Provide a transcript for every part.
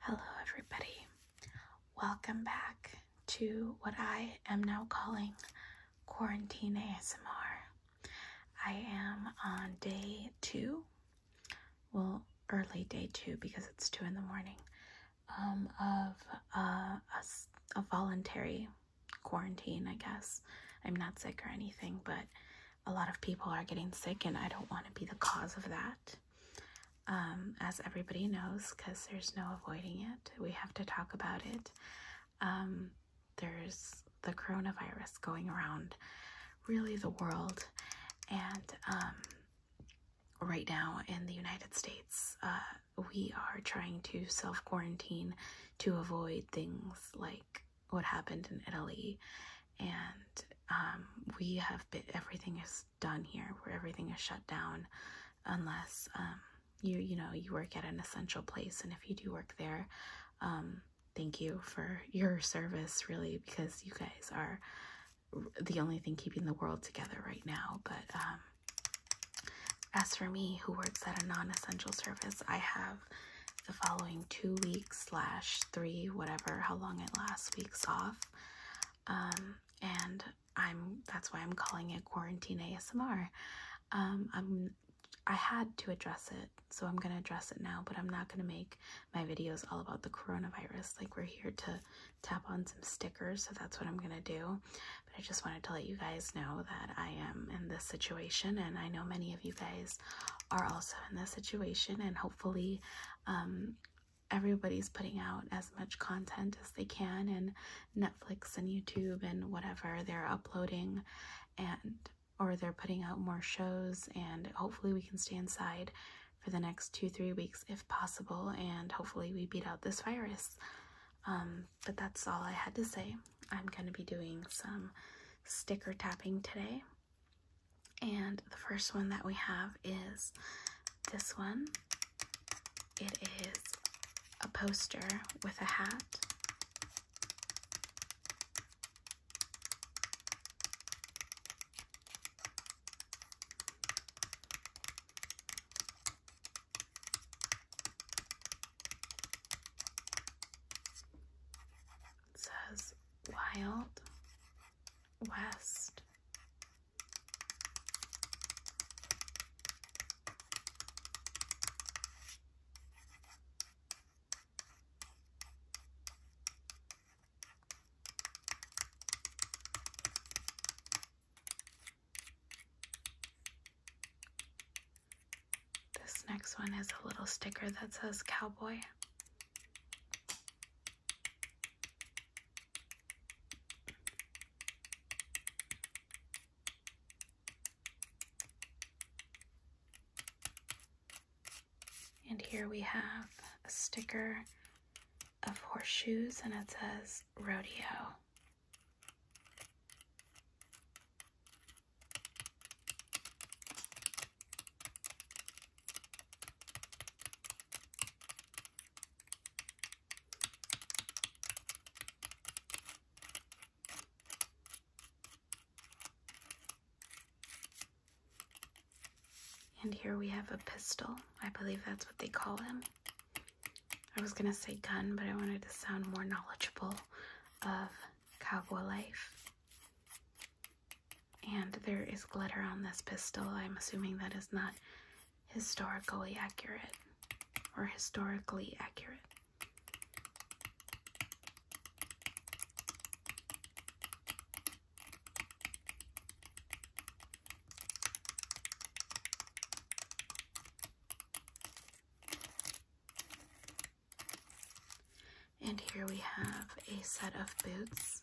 Hello, everybody. Welcome back to what I am now calling Quarantine ASMR. I am on day two, well, early day two because it's two in the morning, um, of uh, a voluntary quarantine, I guess. I'm not sick or anything, but a lot of people are getting sick, and I don't want to be the cause of that. Um, as everybody knows, because there's no avoiding it, we have to talk about it. Um, there's the coronavirus going around, really, the world, and um, right now in the United States, uh, we are trying to self quarantine to avoid things like what happened in Italy. And um, we have been, everything is done here where everything is shut down unless um, you, you know, you work at an essential place. And if you do work there, um, thank you for your service, really, because you guys are the only thing keeping the world together right now. But, as for me, who works at a non-essential service, I have the following two weeks slash three, whatever, how long it last weeks off. Um, and I'm that's why I'm calling it quarantine ASMR. Um, I'm I had to address it, so I'm gonna address it now, but I'm not gonna make my videos all about the coronavirus. Like, we're here to tap on some stickers, so that's what I'm gonna do. But I just wanted to let you guys know that I am in this situation, and I know many of you guys are also in this situation, and hopefully, um, everybody's putting out as much content as they can, and Netflix and YouTube and whatever they're uploading, and or they're putting out more shows, and hopefully, we can stay inside for the next two, three weeks if possible, and hopefully, we beat out this virus. Um, but that's all I had to say. I'm going to be doing some sticker tapping today. And the first one that we have is this one. It is a poster with a hat. It says Wild West. This next one is a little sticker that says cowboy. And here we have a sticker of horseshoes and it says rodeo. And here we have a pistol. I believe that's what they call him. I was going to say gun, but I wanted to sound more knowledgeable of cowboy life. And there is glitter on this pistol. I'm assuming that is not historically accurate or historically accurate. And here we have a set of boots.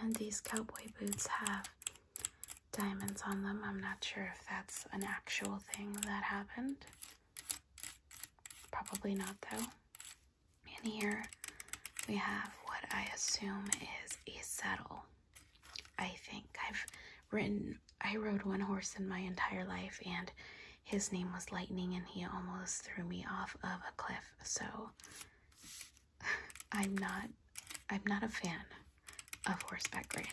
And these cowboy boots have diamonds on them. I'm not sure if that's an actual thing that happened. Probably not, though. And here we have what I assume is a saddle. I think I've written, I rode one horse in my entire life, and his name was Lightning, and he almost threw me off of a cliff. So I'm not, I'm not a fan of horseback riding.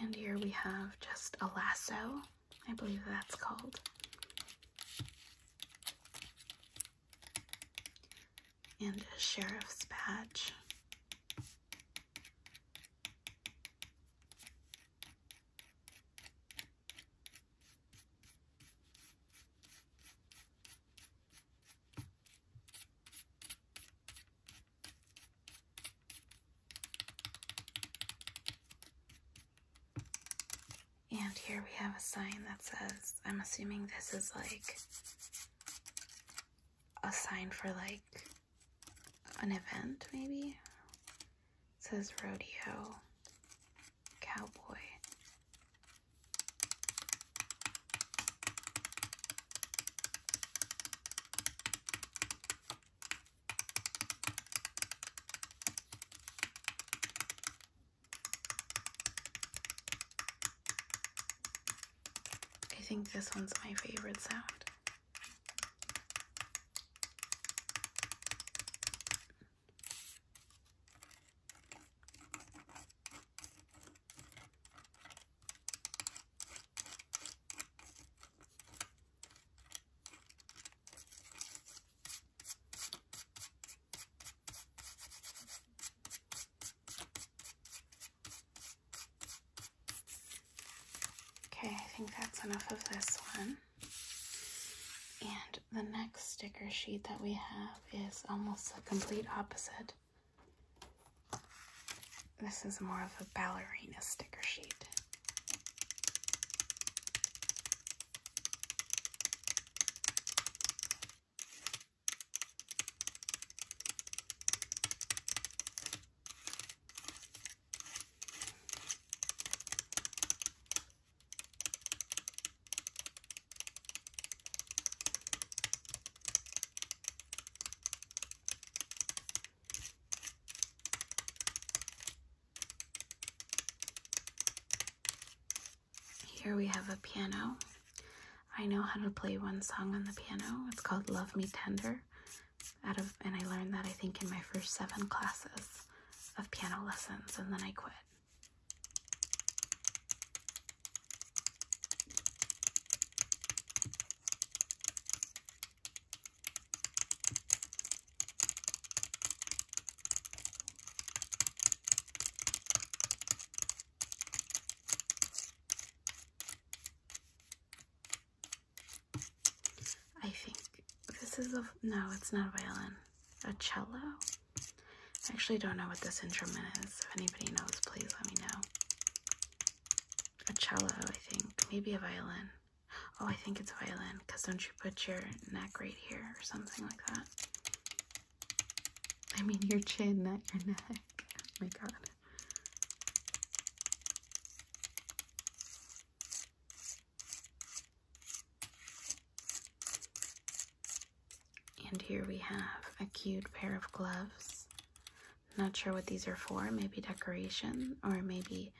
And here we have just a lasso, I believe that's called. And a sheriff's badge. And here we have a sign that says, I'm assuming this is like a sign for like an event, maybe? It says rodeo, cowboy. I think this one's my favorite sound. Okay, I think that's enough of this one. And the next sticker sheet that we have is almost the complete opposite. This is more of a ballerina sticker sheet. Here we have a piano. I know how to play one song on the piano. It's called Love Me Tender. and I learned that I think in my first 7 classes of piano lessons and then I quit. I think this is a no, it's not a violin, a cello. I actually don't know what this instrument is. If anybody knows, please let me know. A cello, I think, maybe a violin. Oh, I think it's a violin because don't you put your neck right here or something like that? I mean, your chin, not your neck. Oh my god. And here we have a cute pair of gloves. Not sure what these are for, maybe decoration, or maybe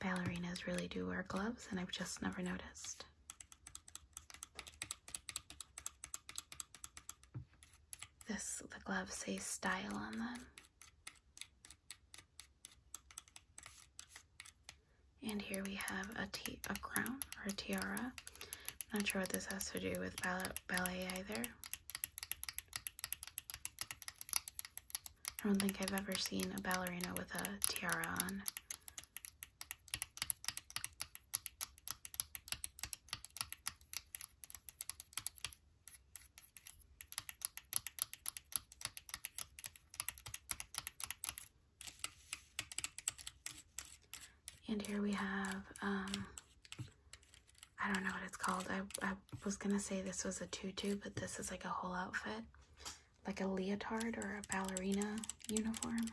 ballerinas really do wear gloves and I've just never noticed. This, the gloves say style on them. And here we have a, a crown or a tiara. I'm not sure what this has to do with ballet, ballet either. I don't think I've ever seen a ballerina with a tiara on. And here we have, um, I don't know what it's called. I, I was going to say this was a tutu, but this is like a whole outfit. Like a leotard or a ballerina uniform.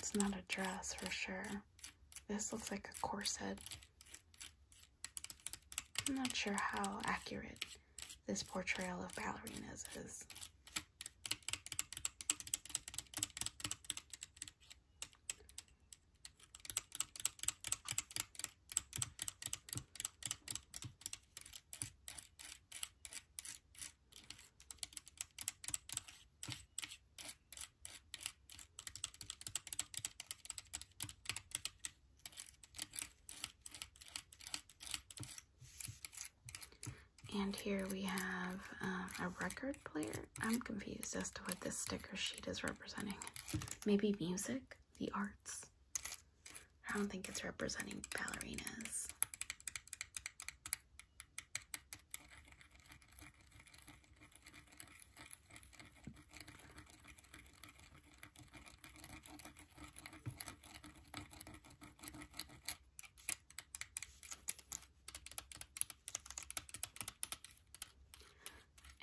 It's not a dress for sure. This looks like a corset. I'm not sure how accurate this portrayal of ballerinas is. And here we have um, a record player. I'm confused as to what this sticker sheet is representing. Maybe music, the arts. I don't think it's representing ballerinas.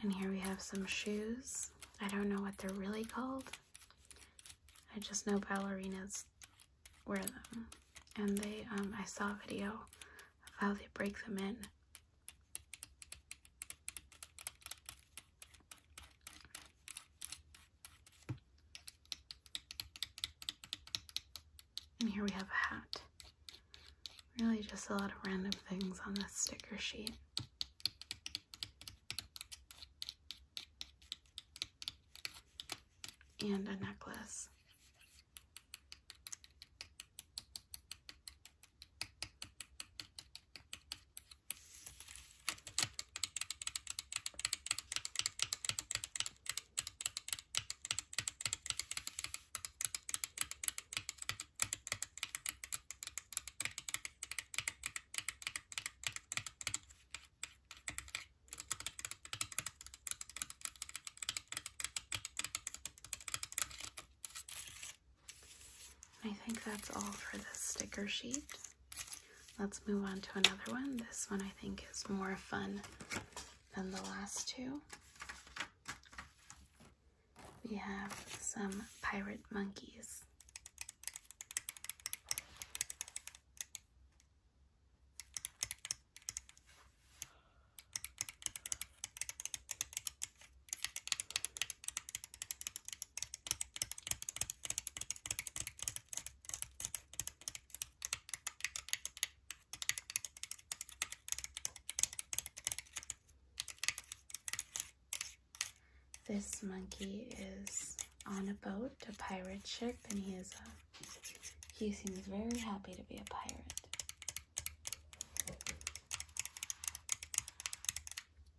And here we have some shoes. I don't know what they're really called. I just know ballerinas wear them. And they, um, I saw a video of how they break them in. And here we have a hat. Really just a lot of random things on this sticker sheet. And a necklace. I think that's all for this sticker sheet. Let's move on to another one. This one I think is more fun than the last two. We have some pirate monkeys. This monkey is on a boat, a pirate ship, and he is a, he seems very happy to be a pirate.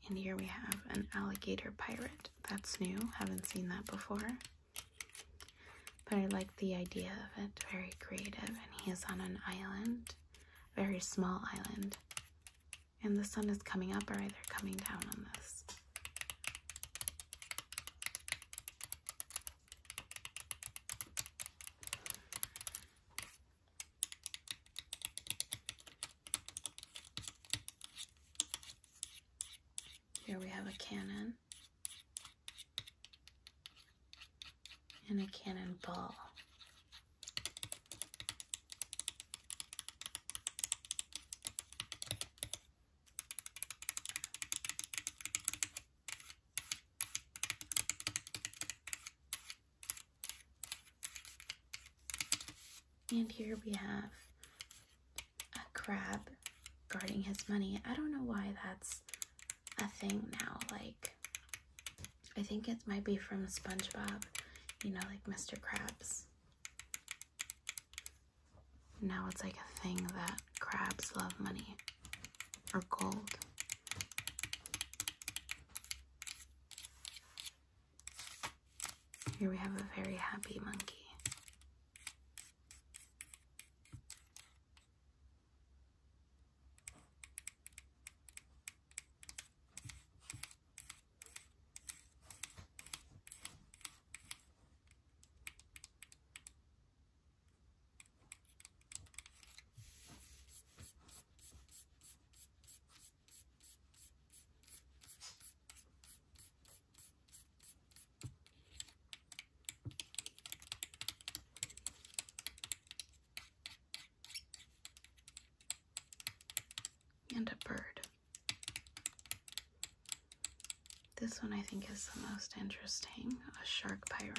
And here we have an alligator pirate. That's new, haven't seen that before. But I like the idea of it, very creative. And he is on an island, very small island. And the sun is coming up or either coming down on this. Here we have a cannon and a cannonball. And here we have a crab guarding his money. I don't know why that's a thing now. Like, I think it might be from SpongeBob, you know, like Mr. Krabs. Now it's like a thing that crabs love money or gold. Here we have a very happy monkey. And a bird. This one I think is the most interesting, a shark pirate.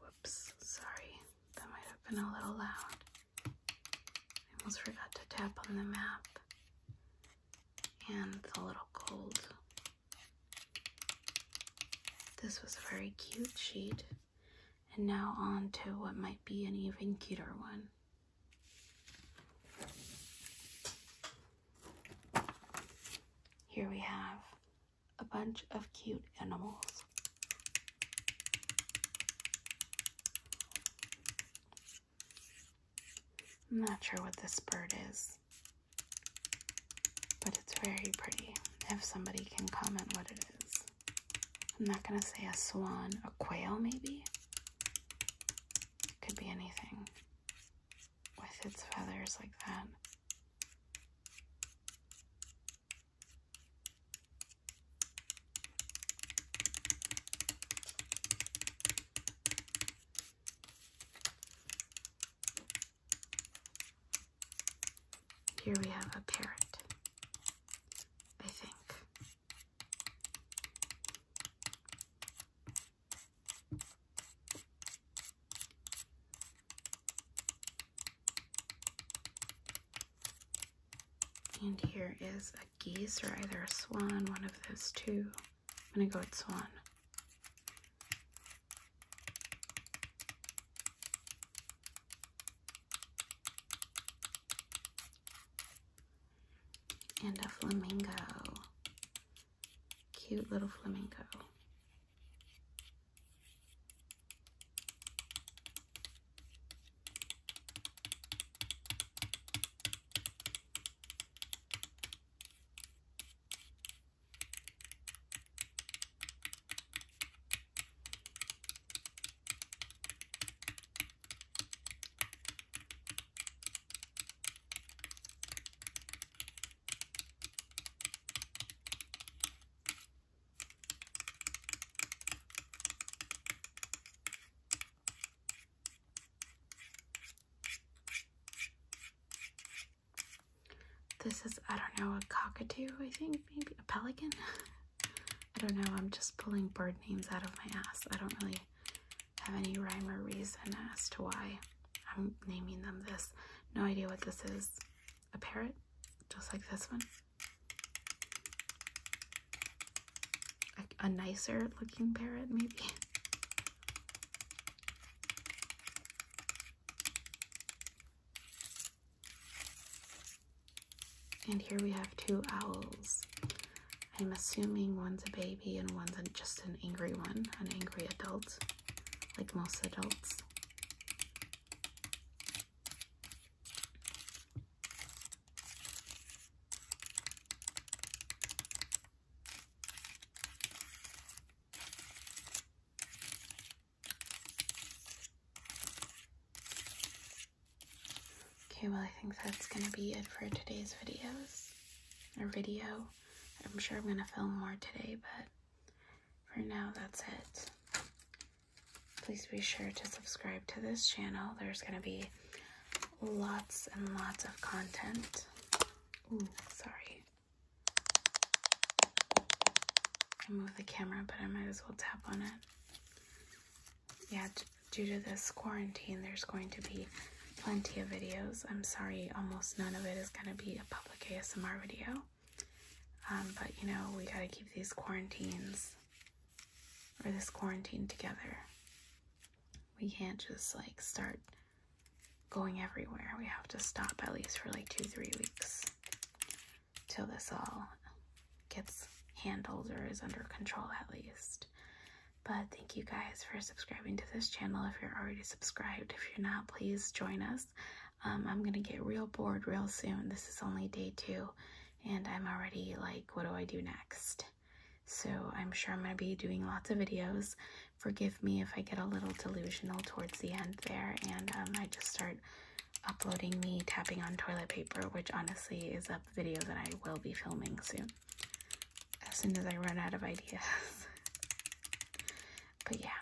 Whoops, sorry, that might have been a little loud. I almost forgot to tap on the map and it's little cold. This was a very cute sheet, and now on to what might be an even cuter one. Here we have a bunch of cute animals. I'm not sure what this bird is, but it's very pretty. If somebody can comment what it is. I'm not gonna say a swan, a quail maybe? Could be anything with its feathers like that. Here we have a parrot, I think. And here is a geese or either a swan, one of those two. I'm gonna go with swan and a flamingo. Cute little flamingo. This is, I don't know, a cockatoo, I think, maybe a pelican. I don't know, I'm just pulling bird names out of my ass. I don't really have any rhyme or reason as to why I'm naming them this. No idea what this is. A parrot? Just like this one? A, a nicer looking parrot, maybe? And here we have two owls. I'm assuming one's a baby and one's just an angry one, an angry adult, like most adults. Okay, well, I think that's going to be it for today's videos or video. I'm sure I'm going to film more today, but for now, that's it. Please be sure to subscribe to this channel. There's going to be lots and lots of content. Ooh, sorry. I moved the camera, but I might as well tap on it. Yeah, due to this quarantine, there's going to be plenty of videos. I'm sorry, almost none of it is going to be a public ASMR video. Um, but you know, we got to keep these quarantines or this quarantine together. We can't just like start going everywhere. We have to stop at least for like two, three weeks till this all gets handled or is under control at least. But thank you guys for subscribing to this channel. If you're already subscribed, if you're not, please join us. Um, I'm gonna get real bored real soon. This is only day two, and I'm already like, what do I do next? So I'm sure I'm gonna be doing lots of videos. Forgive me if I get a little delusional towards the end there, and um, I just start uploading me tapping on toilet paper, which honestly is a video that I will be filming soon as soon as I run out of ideas. but yeah,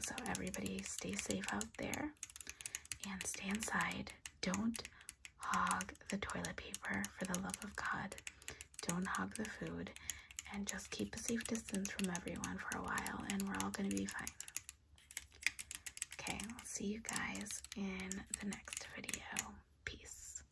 so everybody stay safe out there and stay inside. Don't hog the toilet paper for the love of God. Don't hog the food and just keep a safe distance from everyone for a while and we're all going to be fine. Okay, I'll see you guys in the next video. Peace.